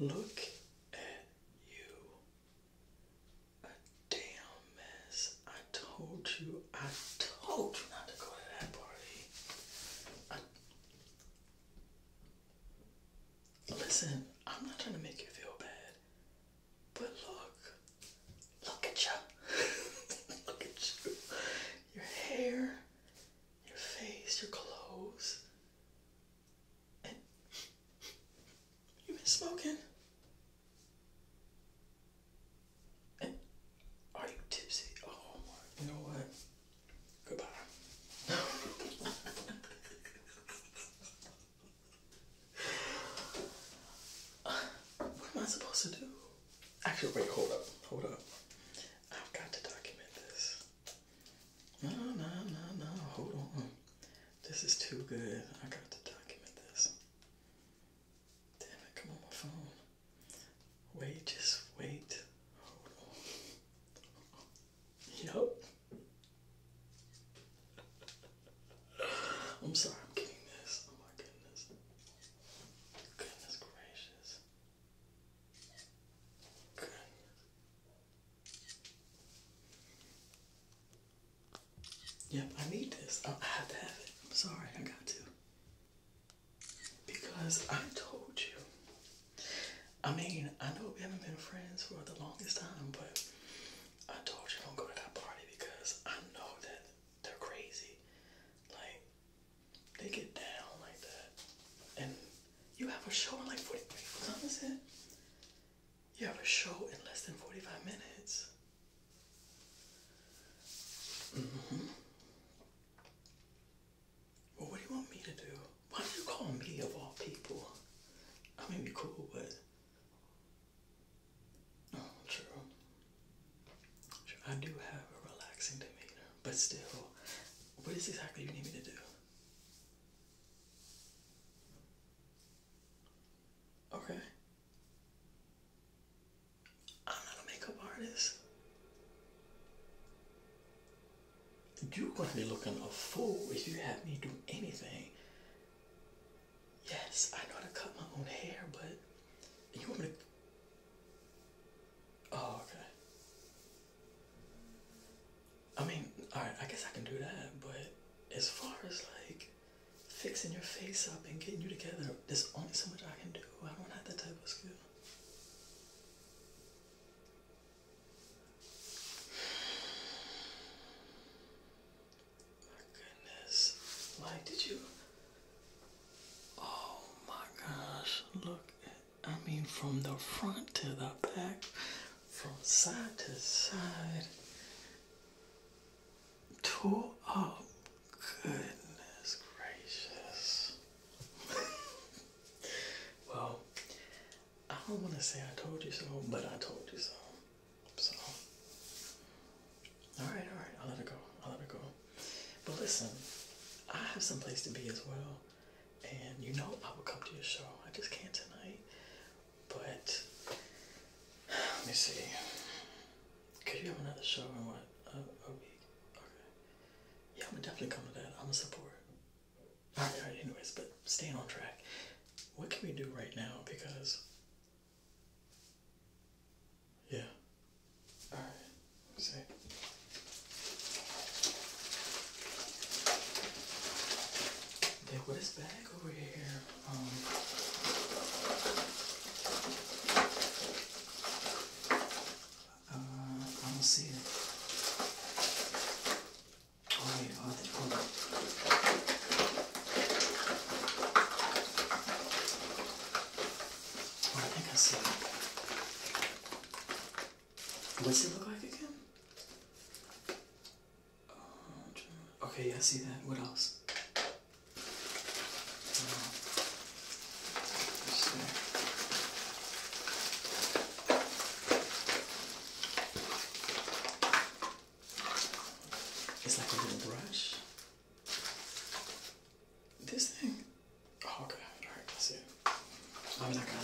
Look at you a damn mess. I told you, I told you not to go to that party. Listen, I'm not trying to make you feel bad, but look, look at you. look at you. Your hair, your face, your clothes. you've been smoking. Are you tipsy? Oh my. You know what? Goodbye. what am I supposed to do? Actually, wait, hold up. Hold up. I've got to document this. No, no, no, no. Hold on. This is too good. I got to document this. Damn it, come on my phone. Wait, just wait. Nope. I'm sorry, I'm getting this. Oh my goodness. Goodness gracious. Goodness. Yep, I need this. Oh, I have to have it. I'm sorry, I got to. Because I told you. I mean, I know we haven't been friends for the longest time, but I told you don't go to that party because I know that they're crazy. Like, they get down like that. And you have a show in like 43 minutes. You have a show in less than 45 minutes. Mm-hmm. Well, what do you want me to do? Why do you call me of all people? I mean, be cool, but. Oh, true. I do have a relaxing demeanor, but still, what is exactly you need me to do? Okay. I'm not a makeup artist. You're gonna be looking a fool if you have me do anything. Yes, I know how to cut my own hair, but you want me Oh, okay. I mean, alright, I guess I can do that, but as far as like fixing your face up and getting you together. There's only so much I can do. I don't have that type of skill. My goodness. Like, did you? Oh my gosh. Look at, I mean, from the front to the back, from side to side. Tore Goodness gracious. well, I don't want to say I told you so, but I told you so. So, all right, all right. I'll let it go. I'll let it go. But listen, I have some place to be as well, and you know I will come to your show. I just can't tonight. But let me see. Could you have another show in what a, a week? Okay. Yeah, I'm gonna definitely come to that. I'm a support. All right, all right. Anyways, but stay on track. What can we do right now? Because yeah. All right. Let's see. what is back over here? Um, uh, see Oh, wait, I think, hold on. Oh, I think I see it. What's it look like again? Okay, I see that. What else? Uh, it's like a little brush. This thing. Oh, okay. All right, I it. I'm not gonna.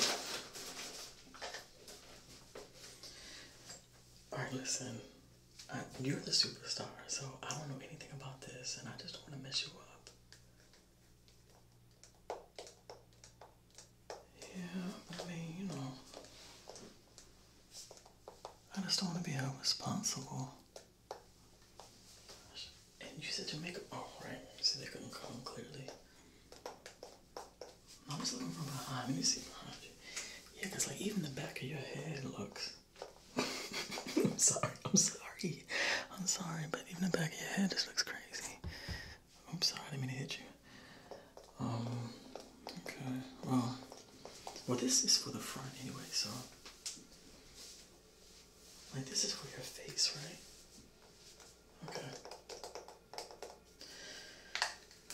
All right, listen. you're the superstar, so I don't know anything about this, and I just don't want to mess you up. Yeah, I mean, you know, I just don't want to be irresponsible. And you said your makeup. Oh, right. You they couldn't come clearly. I was looking from behind. Let me see behind you. Yeah, because like even the back of your head looks. I'm sorry. I'm sorry. I'm sorry, but even the back of your head just looks crazy. I'm sorry. I didn't mean to hit you. Um. Okay. Well. Well, this is for the front anyway. So. Like this is for your face, right? Okay.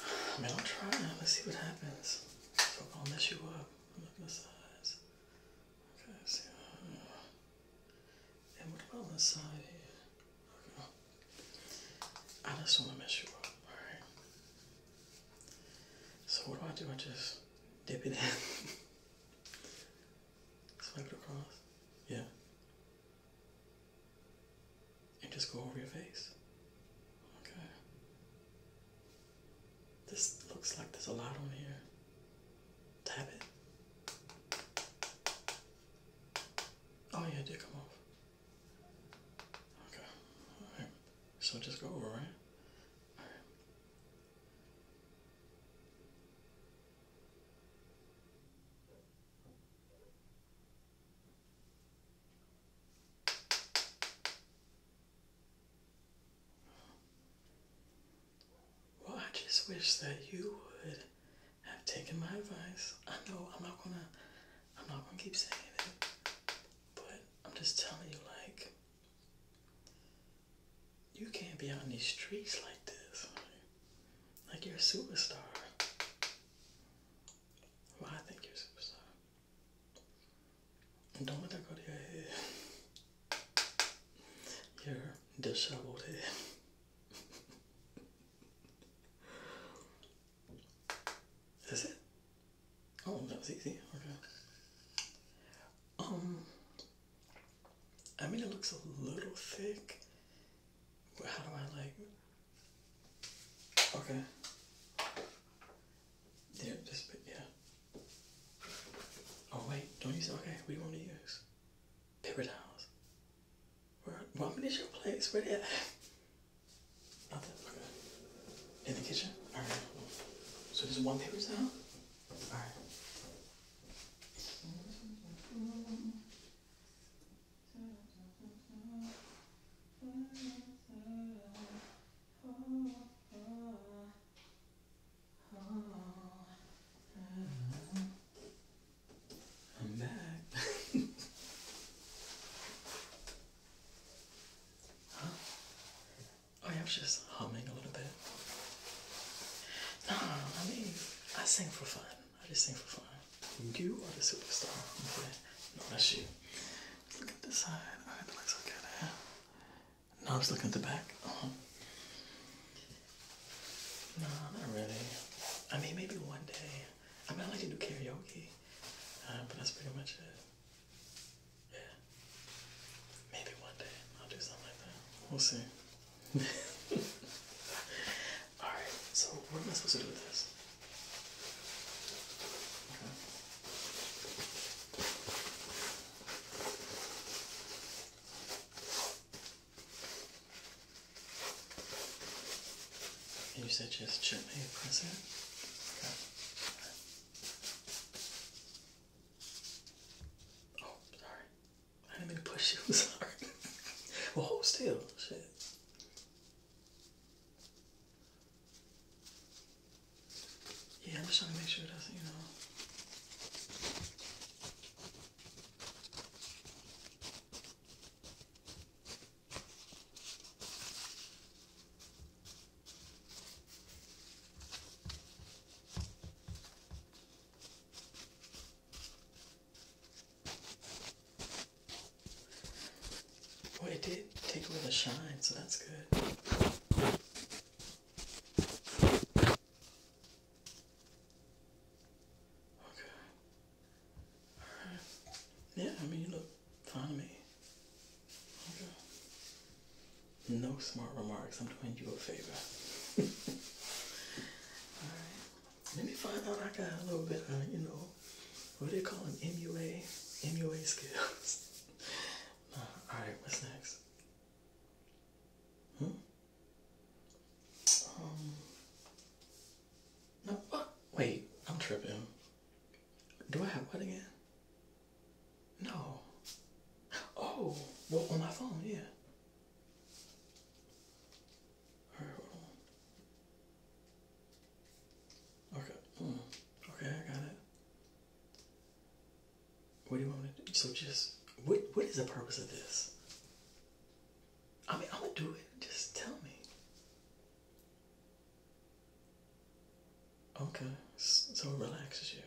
I mean, I'll try Let's see what happens. So I'll mess you up. Look at the size. Okay, see. And what about on side here? Okay. I just want to mess you up. All right. So what do I do? I just dip it in. Swipe it across. Yeah and just go over your face. Okay. This looks like there's a lot on here. Tap it. Oh yeah, did come off. Okay. Alright. So just go over, it. Well, I just wish that you would have taken my advice. I know I'm not gonna I'm not gonna keep saying it, but I'm just telling you like you can't be out in these streets like this. Like you're a superstar. Why I think you're a superstar. don't let that go to your head. Your disheveled head. Is it? Oh, that was easy. Um, I mean, it looks a little thick, how do I like? Okay. There, this bit, yeah. Oh wait, don't use. Okay, we want to use paper towels. Where? What is your place? Where? That? Out Okay. In the kitchen. All right. So there's one paper towel. All right. Oh, I am back. I am just humming a little bit. No, I mean, I sing for fun. I just think for fun. You are the superstar. Okay? No, that's you. Just look at the side. Alright, oh, that looks okay there. I'm just looking at the back. Uh-huh. No, not really. I mean, maybe one day. I mean, I like to do karaoke, uh, but that's pretty much it. Yeah. Maybe one day I'll do something like that. We'll see. Alright, so what am I supposed to do with this? you said just gently press it? Oh, sorry. I didn't mean push you. I'm sorry. well, hold still. Shit. Yeah, I'm just trying to make sure it doesn't, you know. Well, it did take away the shine, so that's good. Okay. Alright. Yeah, I mean, you look fine to me. Okay. No smart remarks. I'm doing you a favor. Alright. Let me find out I got a little bit of, you know, what they call them? MUA? MUA skills. Alright, what's next? Hmm? Um, no, Wait, I'm tripping. Do I have what again? No. Oh, well, on my phone, yeah. Okay. Hmm, okay, I got it. What do you want to do? So just what what is the purpose of this? I mean I'm gonna do it. Just tell me. Okay. So it relaxes you.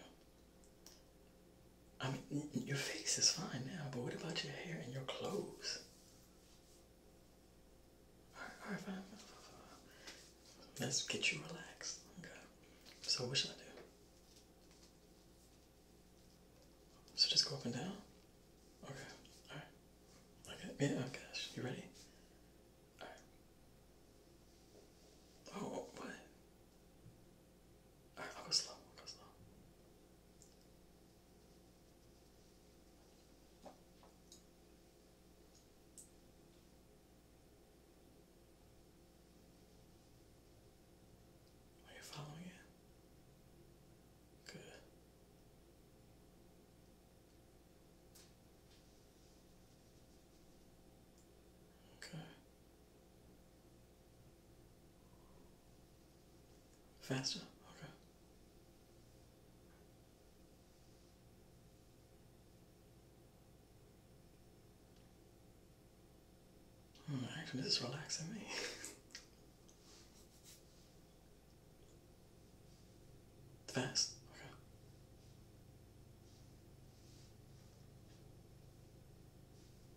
I mean, your face is fine now, but what about your hair and your clothes? Alright, fine, Let's get you relaxed. Okay. So what should I do? So just go up and down? Okay, alright. Okay, yeah, oh You ready? Alright. Oh, what? I'll go slow. Are you following it? Good. Okay. Faster? Okay. Hmm, actually, this is relaxing me. Fast? Okay.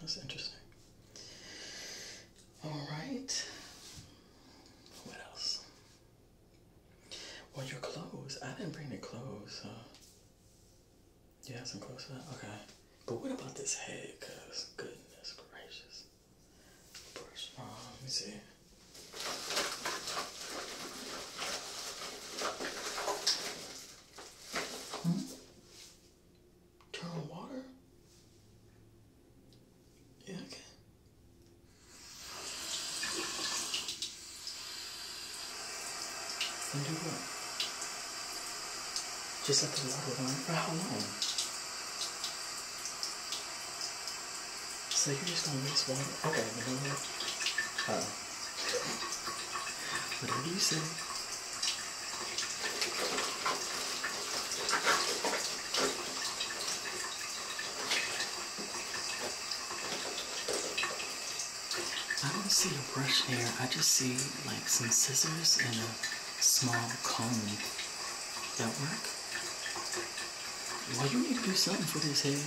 That's interesting. All right. What else? Well, your clothes. I didn't bring the clothes. Uh, you have some clothes Okay. But what about this head? Because, goodness gracious. Uh, let me see. Hmm? Turn on water? Yeah, Okay. And do what? Just let the water run for how long? So you're just gonna mix water? Okay, you what Whatever you say. I don't see a brush there. I just see like some scissors and a small comb. That work? Well, you need to do something for these head.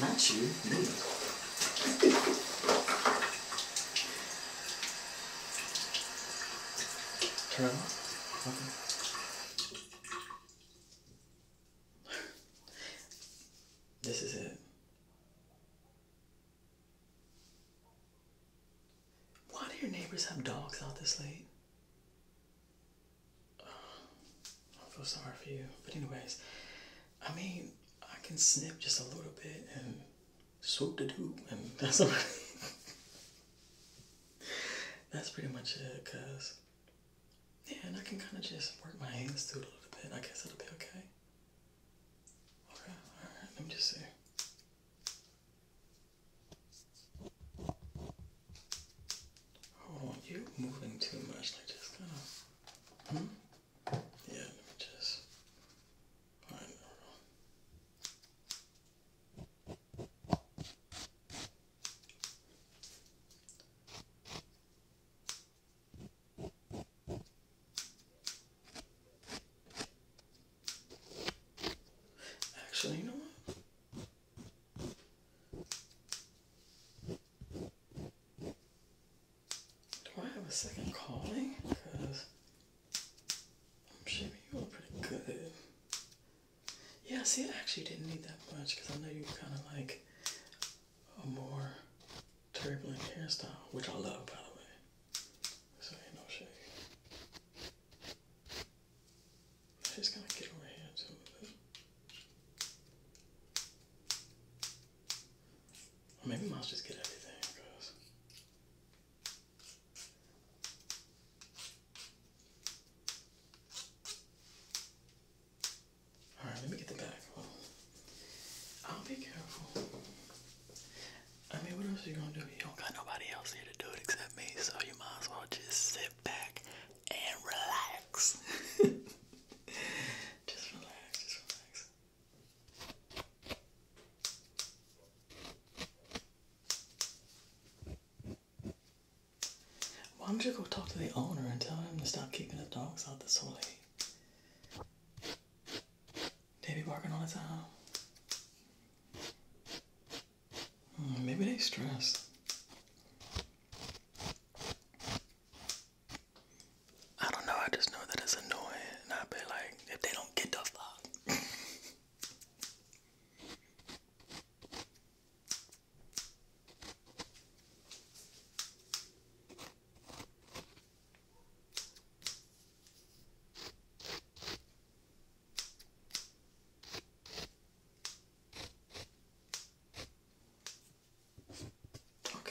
Not you, me. Turn off. Okay. this is it. Why do your neighbors have dogs out this late? Uh, I feel sorry for you. But, anyways, I mean, I can snip just a little bit and swoop the doop, and that's that's pretty much it, cuz. Yeah, and I can kind of just work my hands through a little bit. I guess it'll be okay. Alright, let me just see. Oh, you're moving too much, I just kind of. Hmm? Yeah, let me just. Alright, Actually, you know what? Do I have a second calling? Because I'm shaving you were pretty good. Yeah, see, I actually didn't need that much because I know you kind of like a more turbulent hairstyle, which I love by the way. So ain't no shade. I'm just gonna get over here too maybe I just get everything because all right, let me get the back. I'll be careful. I mean, what else are you gonna do? You don't got nobody else here to do it except me, so you might as well just sit back and relax. just relax, just relax. Why don't you go talk to the owner and tell him to stop keeping the dogs out this whole late? They be working all the time. Hmm, maybe they stress. I don't know, I just know that it's annoying and I bet like if they don't get the fuck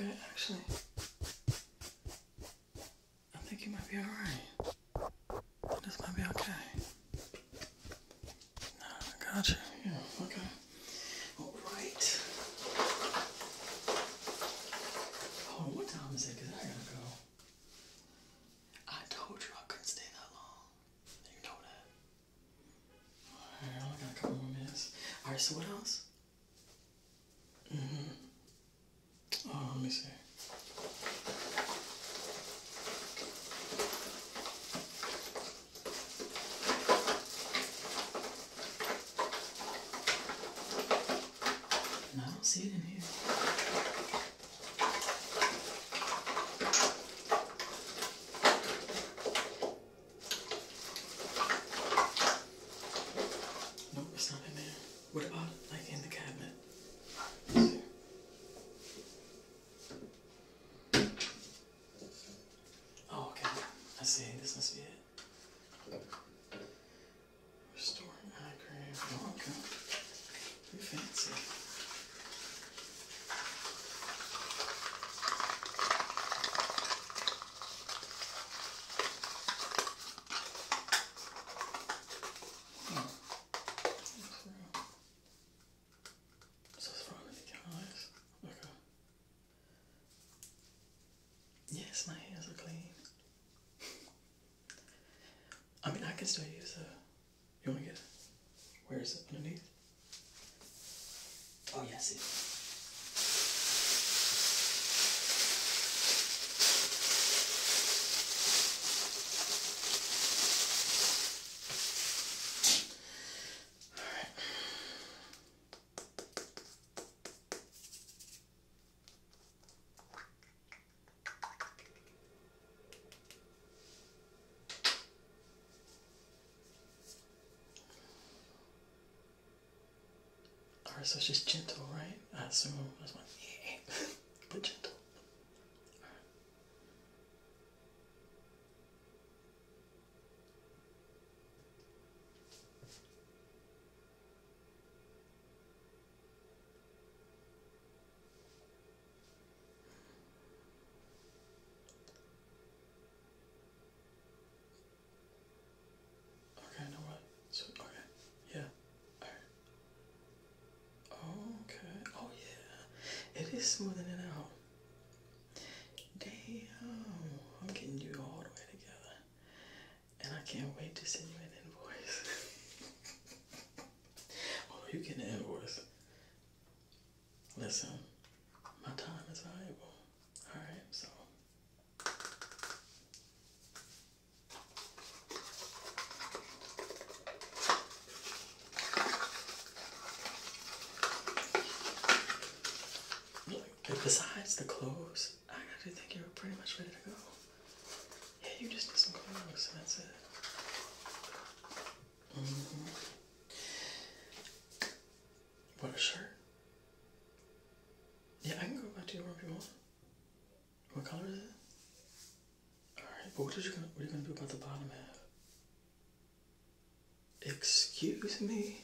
Okay, actually, I think you might be alright. This might be okay. No, I Yeah, okay. All right. Oh, what time is it? Cause I gotta go. I told you I couldn't stay that long. You know that. I only got a couple minutes. Alright, so what else? Mm-hmm. Oh, let me see. And I don't see it in here. Nope, it's not in there. What about like in the cabinet? Oh, okay. I see. This must be it. Restoring an eye cream. Oh, okay. Pretty fancy. Hmm. So that's right with Okay. Yes, my hands are clean. I mean, I can still use a. You want to get Where is it? Underneath? Oh, yes. I Alright, so it's just gentle, right? I assume that's what. like, yeah, but gentle. Okay, no what? So okay, yeah. Alright. Okay. Oh yeah. It is smoothing it out. Damn, I'm getting you all the way together. And I can't wait to send you an invoice. oh, you get an invoice. Listen, my time is valuable. Alright, so besides the clothes, I actually think you're pretty much ready to go. Yeah, you just need some clothes, and that's it. Mm -hmm. What, shirt? Yeah, I can go back to you room if you want. What color is it? Alright, but what, what are you going to do about the bottom half? Excuse me?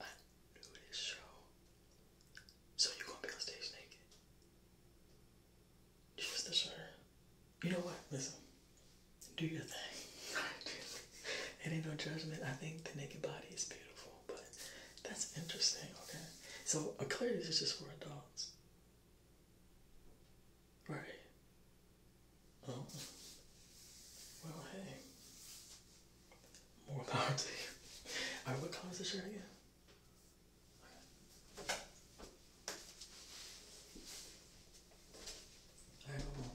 I do this show. So you're gonna be on stage naked? Just the shirt. You know what? Listen. Do your thing. it ain't no judgment. I think the naked body is beautiful, but that's interesting, okay? So, a clearly is just for adults. Right. Oh. Well, hey. More power to you. Alright, what color is the shirt again? Alright, cool.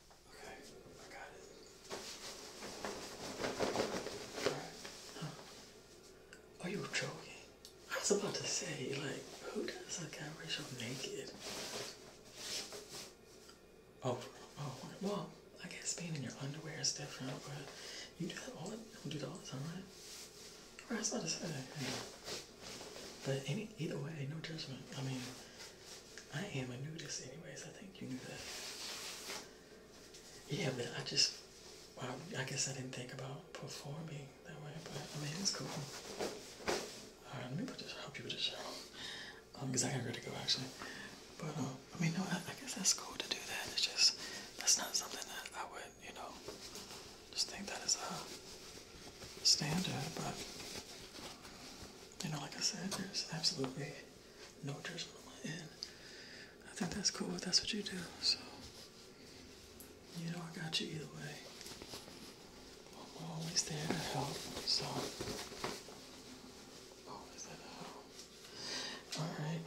Okay, I got it. Right. Huh. Oh, you joking. I was about to say, like, who does a guy ratio naked? Oh, oh, well, I guess being in your underwear is different, but you do that all, you do that all the time, right? Right, I was about to say. Yeah. But any, either way, no judgment. I mean, I am a nudist anyways. I think you knew that. Yeah, but I just, I guess I didn't think about performing that way, but I mean, it's cool. All right, let me put this, help you with this shower. Um, because I got ready to go actually. But, um, I mean, no, I, I guess that's cool to do that. It's just, that's not something that I would, you know, just think that is a standard, but, you know, like I said, there's absolutely no judgment and I think that's cool that's what you do. So you know I got you either way. I'm always there to help. So always there to help. Alright.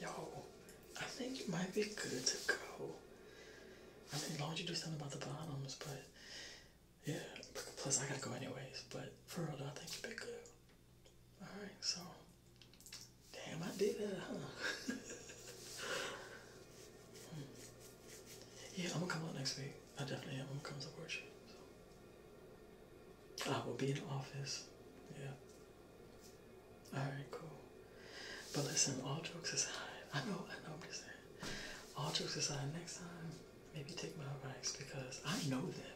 Yo, I think you might be good to go. I mean as long as you do something about the bottoms, but yeah, plus I gotta go anyways, but for real, I think you've be good. Alright, so. Damn, I did that, huh? Hmm. yeah, I'm gonna come out next week. I definitely am. I'm gonna come support you. So. I will be in the office. Yeah. Alright, cool. But listen, all jokes aside, I know, I know what you're saying. All jokes aside, next time maybe take my rights because I know them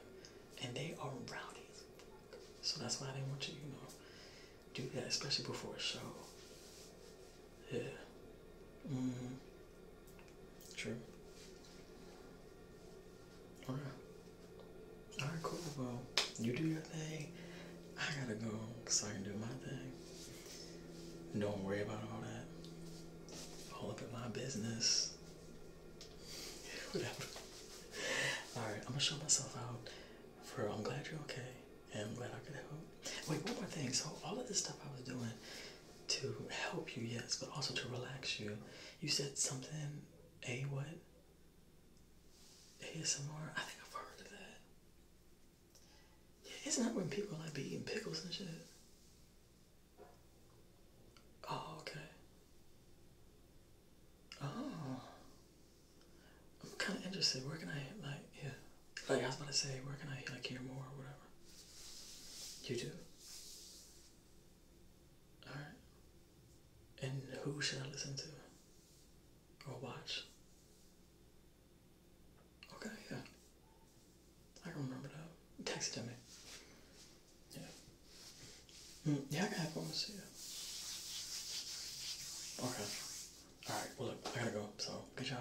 and they are rowdy. So that's why I didn't want you, you know, do that, especially before a show. Yeah. Mm hmm. True. Alright. Alright, cool. Well, you do your thing. I gotta go so I can do my thing don't worry about all that. All up in my business. Whatever. Alright, I'm gonna show myself out for I'm glad you're okay. And I'm glad I could help. Wait, one more thing. So all of this stuff I was doing to help you, yes, but also to relax you. You said something a what? ASMR? I think I've heard of that. Yeah, it's not when people like be eating pickles and shit? Oh, okay. Oh, I'm kind of interested. Where can I like yeah? Like I was about to say, where can I like hear more or whatever? You do. All right. And who should I listen to or watch? Okay, yeah. I remember that. Text to me. Yeah. Mm, yeah, I can have one to see you. Okay. Alright, well look, I gotta go, so good job.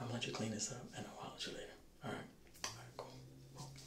I'm gonna let you clean this up and I'll holler at you later. Alright. Alright, cool.